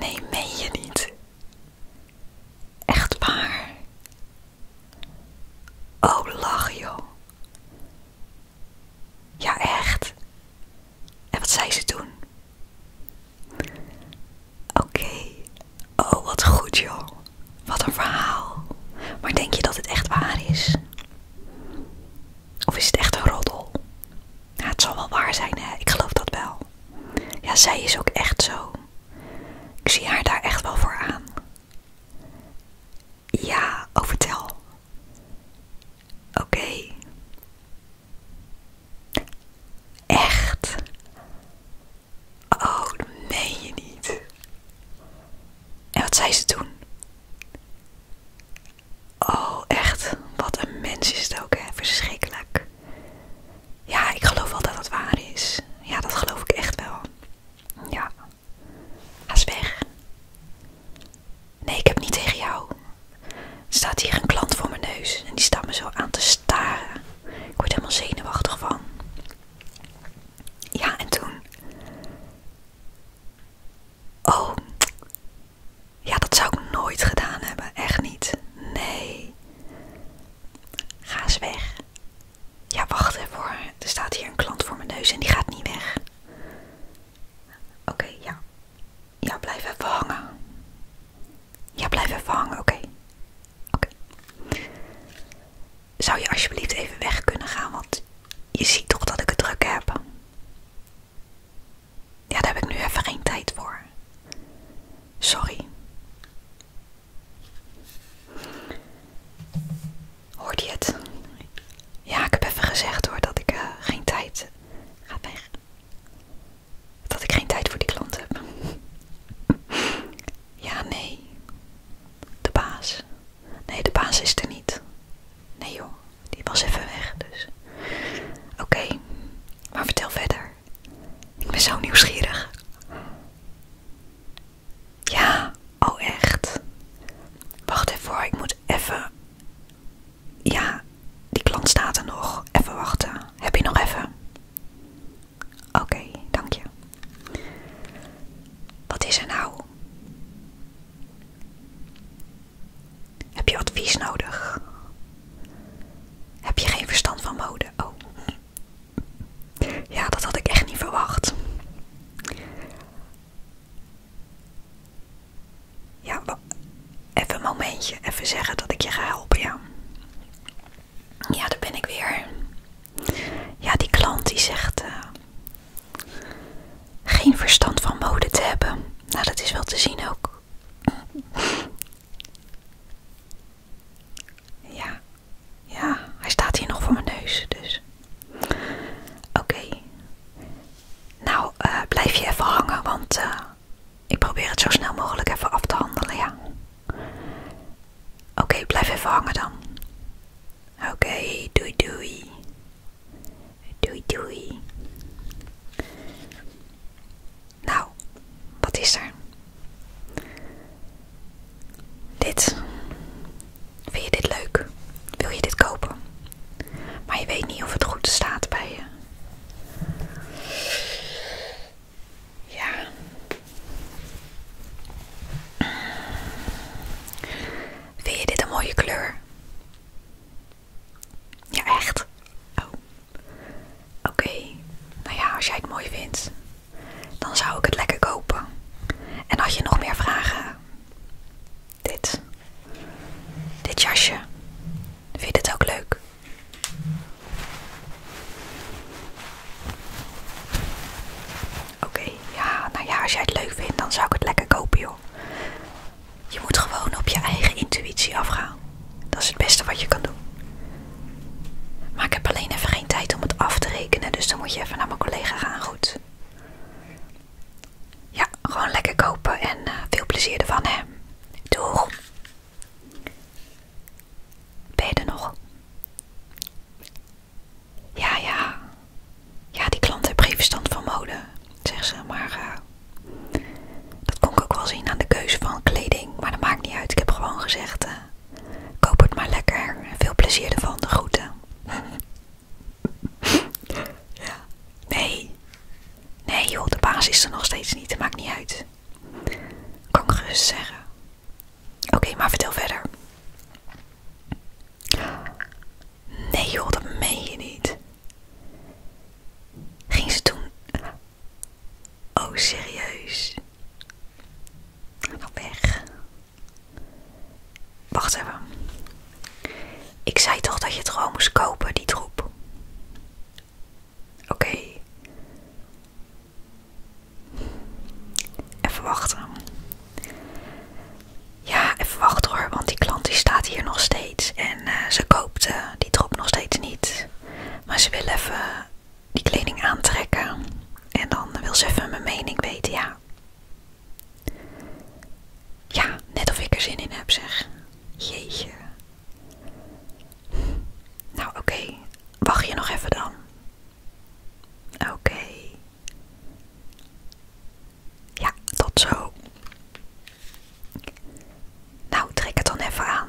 Nee, meen je niet? Echt waar? Oh, lach joh. Ja, echt. En wat zei ze toen? Oké. Oh, wat goed joh. Wat een verhaal. Maar denk je dat het echt waar is? Of is het echt een roddel? Ja, het zal wel waar zijn, hè? Ik geloof dat wel. Ja, zij is ook echt zo. Ik zie haar daar echt wel voor aan. Ja, overtel. Oh, vertel. Oké. Echt? Oh, dat meen je niet. En wat zei ze toen? Oh, echt. Wat een mens is het ook, hè? Verschrikkelijk. Ja, ik geloof wel dat dat waar is. Ja, dat geloof ik echt wel. Ja. Ga weg. Nee, ik heb niet tegen jou. Er staat hier een klant voor mijn neus en die staat me zo aan te staren. Ik word helemaal zenuwachtig van. Ja, en toen. Oh, ja, dat zou ik nooit gedaan hebben. Echt niet. Nee. Ga eens weg. Ja, wacht even hoor. Er staat hier een klant voor mijn neus en die gaat niet weg. Oké, ja. Ja, blijf even hangen. Ja, blijf even hangen, oké. Oké. Zou je alsjeblieft even weg kunnen gaan, want je ziet toch dat ik het druk heb. Ja, daar heb ik nu even geen tijd voor. Sorry. Hoort je het? Ja, ik heb even gezegd hoor dat ik eh, geen tijd. Gaat weg. Dat ik geen tijd voor die klant heb. ja, nee. De baas. Nee, de baas is er niet. Nee joh. Die was even weg, dus. Oké, maar vertel verder. Ik ben zo nieuwsgierig. Ja, oh echt. Wacht even hoor, ik moet even. Ja, die klant staat er nog. Even wachten. Heb je nog even? Oké, dank je. Wat is er nou? Heb je advies nodig? Heb je geen verstand van mode? Oh. Ja, dat had ik echt niet verwacht. Ja, even een momentje. Even zeggen dat ik je ga helpen, ja. Ja, daar ben ik weer. Ja, die klant die zegt... Eh, geen verstand van mode te hebben. Nou, dat is wel te zien ook. Ja, ja, hij staat hier nog voor mijn neus, dus. Oké. Nou, eh, blijf je even hangen, want eh, ik probeer het zo snel mogelijk even af te handelen, ja. Oké, blijf even hangen dan. Oké, doei doei. Doei doei. Nou, wat is er? Dit. Vind je dit leuk? Wil je dit kopen? Maar je weet niet of het goed staat bij je. Ja. Vind je dit een mooie kleur? Ja, echt? Oh. Oké. Nou ja, als jij het mooi vindt, dan zou ik het lekker kopen. En als je nog meer vragen? Dit. Dit jasje. Vind je het ook leuk? Oké, ja, nou ja, als jij het leuk vindt, dan zou ik het lekker kopen, joh. Je moet gewoon op je eigen intuïtie afgaan. Dat is het beste wat je kan doen. Maar ik heb alleen even geen tijd om het af te rekenen, dus dan moet je even naar mijn collega gaan. Goed. Ja, gewoon lekker kopen en eh, veel plezier ervan, hè. Doeg. Ben je er nog? Ja, ja. Ja, die klant heeft geen verstand van mode, zegt ze. Maar eh, dat kon ik ook wel zien aan de keuze van kleding. Maar dat maakt niet uit. Ik heb gewoon gezegd: eh, koop het maar lekker. Veel plezier ervan. De groeten. ja. Nee. Nee, joh, de baas is er nog steeds niet. Dat maakt niet uit. Kan ik gerust zeggen. Oké, maar vertel verder. Nee joh, dat meen je niet. Ging ze toen... Oh, serieus? Ga weg. Wacht even. Ik zei toch dat je het gewoon moest kopen, die troep? Oké. Even wachten. Ja, even wachten hoor, want die klant die staat hier nog steeds. En eh, ze koopt eh, die drop nog steeds niet. Maar ze wil even die kleding aantrekken. En dan wil ze even mijn mening weten, ja. Ja, net of ik er zin in heb, zeg. Jeetje. Nou, oké. Wacht je nog even dan. Oké. Ja, tot zo. Nou, trek het dan even aan.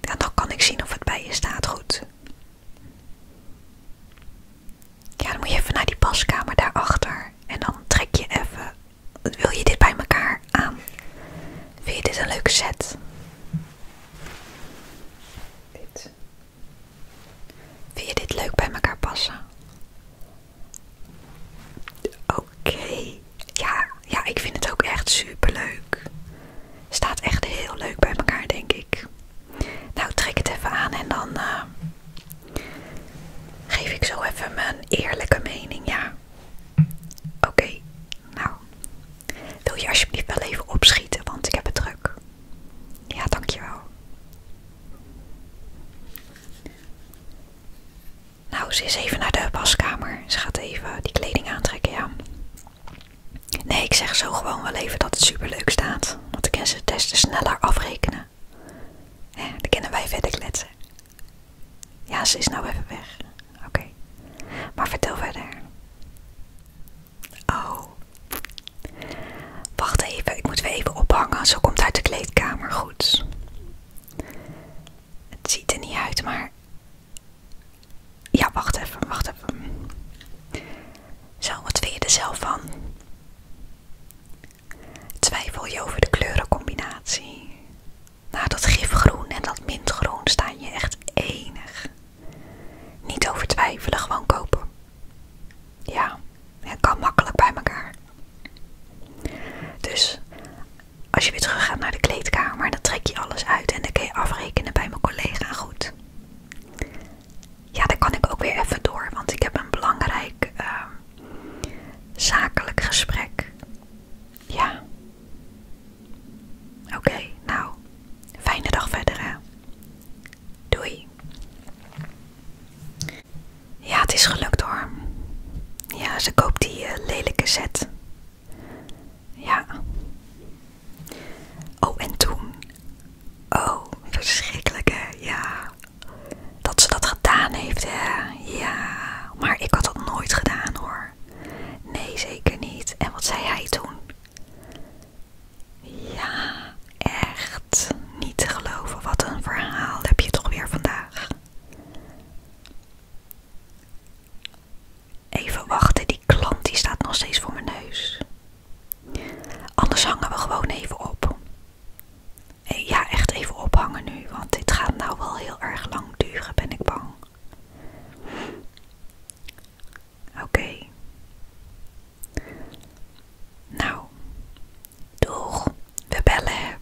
En dan kan ik zien of het bij je staat goed. Ja, dan moet je even naar die paskamer daarachter. En dan trek je even. Wil je dit bij elkaar aan? Vind je dit een leuke set? Dit. Vind je dit leuk bij elkaar passen? Oké. Ja, ja, ik vind het ook echt super leuk. Staat echt heel leuk bij elkaar, denk ik. Nou, trek het even aan en dan eh, geef ik zo even mijn eerlijke mening, ja. Oké, nou. Wil je alsjeblieft wel even opschieten, want ik heb het druk. Ja, dankjewel. Nou, ze is even naar de waskamer. Ze gaat even die kleding aantrekken, ja. Nee, ik zeg zo gewoon wel even dat het superleuk staat. Want ik kan ze testen sneller afrekenen. Ja, dan kunnen wij verder kletsen. Ja, ze is nou even weg. Oké. Maar vertel verder. Oh. Wacht even, ik moet weer even ophangen. Zo komt het uit de kleedkamer. Goed. Het ziet er niet uit, maar. Ja, wacht even, wacht even. Zo, wat vind je er zelf van? Twijfel je over de kleurencombinatie? Nou, dat gifgroen en dat mintgroen staan je echt enig. Niet over twijfelen, gewoon kopen. Ja, het kan makkelijk bij elkaar. Dus als je weer terug gaat naar de kleedkamer, dan trek je alles uit en dan kun je afrekenen bij mijn collega goed. Ja, dan kan ik ook weer even door, want ik heb een belangrijk ehm, zakelijk gesprek. Ja. Oké, nou, fijne dag verder hè. Doei. Ja, het is gelukt hoor. Ja, ze koopt die eh, lelijke set. Ja. Oh, en toen. Oh, verschrikkelijke, ja. Dat ze dat gedaan heeft, hè. Ja, maar ik had dat nooit gedaan hoor. Nee, zeker niet. En wat zei hij toen? Ja, echt niet te geloven. Wat een verhaal heb je toch weer vandaag. Even wachten, die klant die staat nog steeds voor mijn neus. Anders hangen we gewoon even op. Eh, ja, echt even ophangen nu, want dit gaat nou wel heel erg lang duren, ben ik bang. Oké. Nou, doeg, we bellen.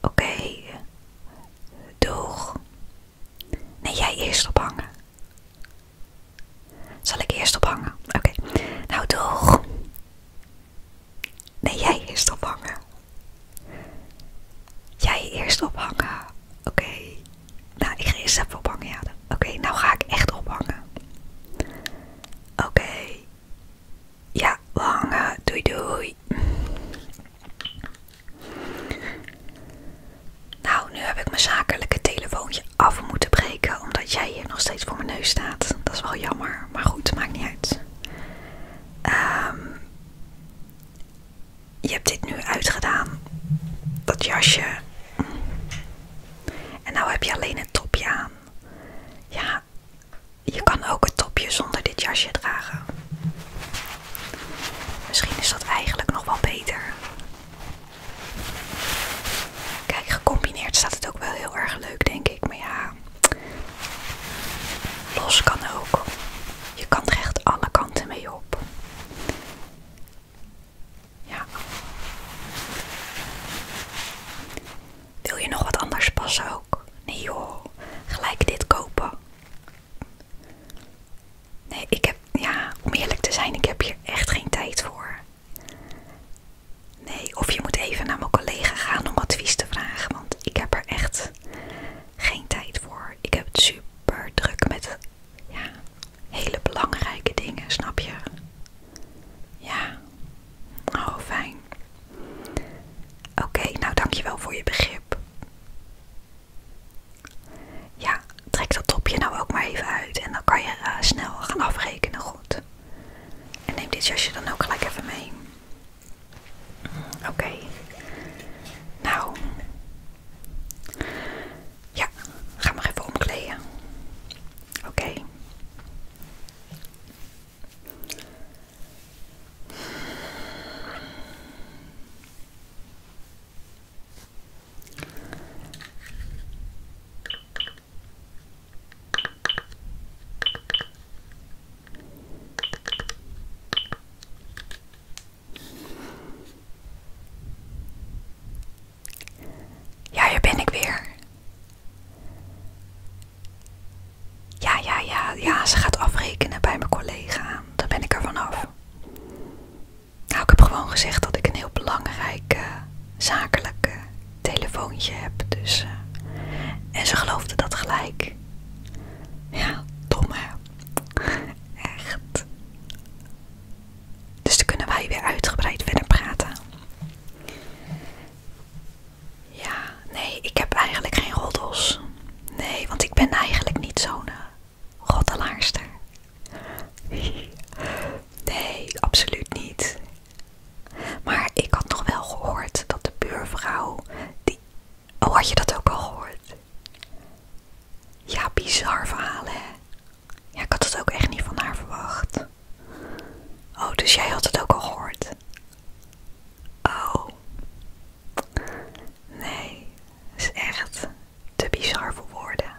Oké, doeg. Nee, jij eerst ophangen. Zal ik eerst ophangen? Oké, nou doeg. Nee, jij eerst ophangen. Jij eerst ophangen. Oké. Nou, ik ga eerst even ophangen, ja. Oké, nou ga ik echt ophangen. Oké. Ja, we hangen. Doei, doei. Nou, nu heb ik mijn zakelijke telefoontje af moeten breken, omdat jij hier nog steeds voor mijn neus staat. Dat is wel jammer, maar goed, maakt niet uit. Ehm je hebt dit nu uitgedaan, dat jasje. En nou heb je alleen het topje aan. Ja, je kan ook het topje zonder dit jasje dragen. Misschien is dat eigenlijk nog wel beter. Kijk, gecombineerd staat het ook wel heel erg leuk, denk ik. Maar ja, los kan ook. Je kan er echt alle kanten mee op. Ja. Wil je nog wat anders passen ook? Nee joh, gelijk dit kopen. Nee, ik heb, ja, om eerlijk te zijn, ik heb hier echt geen tijd voor. Nee, of je moet even naar mijn collega gaan om advies te vragen, want ik heb er echt geen tijd voor. Ik heb het super druk met ja, hele belangrijke dingen, snap je? Ja, oh fijn. Oké, dank nou dankjewel voor je begrip. Ja, trek dat topje nou ook maar even uit en dan kan je eh, snel gaan afrekenen, goed. En neem dit jasje dan ook gelijk even mee. Oké. Nou, ja, ga maar even omkleden. Oké. Ja, hier ben ik weer. Ja, ja, ja, ja, ze gaat afrekenen bij mijn collega. Daar ben ik er vanaf. Nou, ik heb gewoon gezegd dat ik een heel belangrijk eh, zakelijke telefoontje heb. Dus, eh, en ze geloofde dat gelijk. Ja, dom hè. Dus dan kunnen wij weer uitgebreid verder praten. Ja, nee, ik heb eigenlijk geen roddels. Nee, want ik ben eigenlijk niet zo'n eh, roddelaarster. Nee, absoluut niet. Maar ik had nog wel gehoord dat de buurvrouw die Oh, had je dat ook al gehoord? Ja, bizar verhalen, hè? Ja, ik had het ook echt niet van haar verwacht. Oh, dus jij had het ook al gehoord? Oh. Nee, het is echt te bizar voor woorden.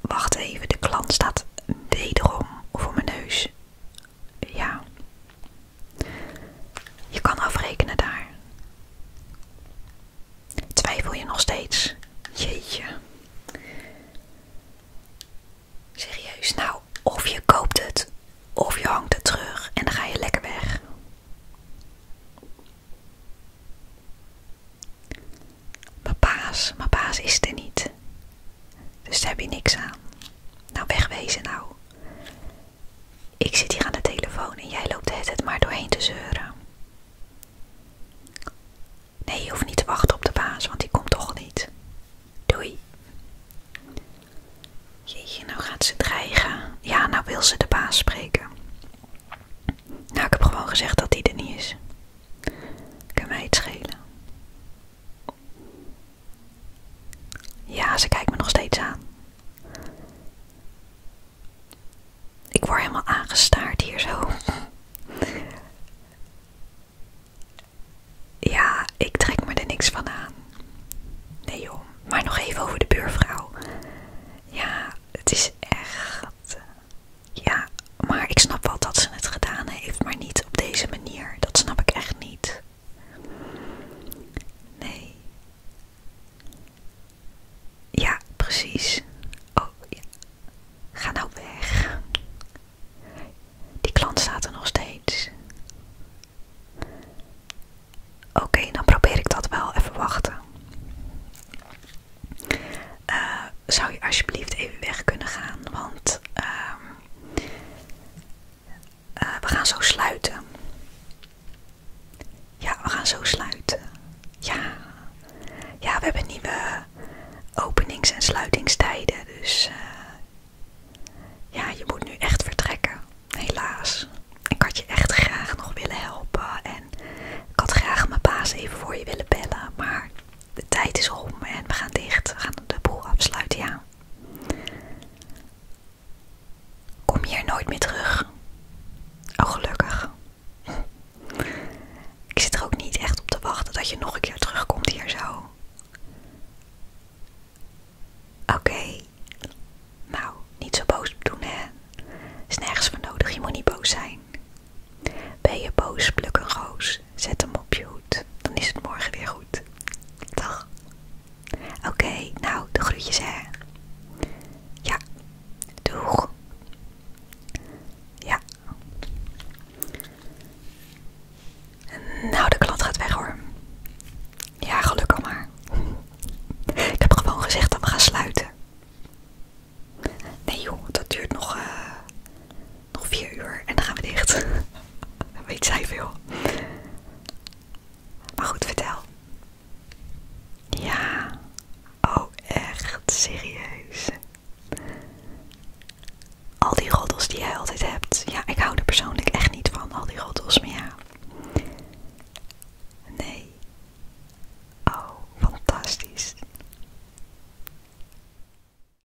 Wacht even, de klant staat wederom voor mijn neus ja, je kan afrekenen daar. Twijfel je nog steeds? Jeetje. Serieus, nou, of je koopt het, of je hangt het terug en dan ga je lekker weg. Papa's. baas is er niet. Dus daar heb je niks aan. Nou, wegwezen nou. Ik zit hier aan de telefoon en jij loopt het maar doorheen te zeuren. Nee, je hoeft niet te wachten op de baas, want die komt toch niet. Doei. Jeetje, nou gaat ze dreigen. Ja, nou wil ze de baas spreken. Nou, ik heb gewoon gezegd dat die er niet is. Kan mij het schelen. Ja, ze kijkt me nog steeds aan. Ik word helemaal aangestaard hier zo. Ja, ik trek me er niks van aan. Nee joh, maar nog even over de buurvrouw. Ja, het is echt. Ja, maar ik snap wel dat ze het gedaan heeft, maar niet op deze manier. Dat snap ik echt niet. Nee. Ja, precies. Oh, ja. Ga nou weg. Die klant staat er nog steeds. Oké, dan probeer ik dat wel even wachten. Eh, zou je alsjeblieft even weg kunnen gaan? Want ehm, eh, we gaan zo sluiten. Ja, we gaan zo sluiten. Ja. Ja, we hebben nieuwe openings- en sluitingstijden. Dus eh, ja, je moet nu echt vertrekken. Helaas. Ik had je echt graag nog willen helpen. En ik had graag mijn baas even voor je willen bellen. Maar de tijd is om en we gaan dicht. We gaan de boel afsluiten, ja. Kom hier nooit meer terug. Oh, gelukkig. Ik zit er ook niet echt op te wachten dat je nog een keer terugkomt hier zo. Oké. Nou, niet zo boos doen, hè. Is nergens voor nodig, je moet niet boos zijn. Ben je boos, pluk een roos. Zet hem op je hoed. Dan is het morgen weer goed. Dag. Oké, nou, de groetjes hè. Ja, doeg. Ja. Nou, de klant gaat weg hoor. Ja, gelukkig maar. Ik heb gewoon gezegd dat we gaan sluiten. Nee joh, dat duurt nog eh, nog vier uur en dan gaan we dicht. Weet zij veel. Maar goed, vertel. Ja. Oh, echt serieus. Al die roddels die jij altijd hebt. Ja, ik hou er persoonlijk echt niet van, al die roddels. Maar ja. Nee. Oh, fantastisch.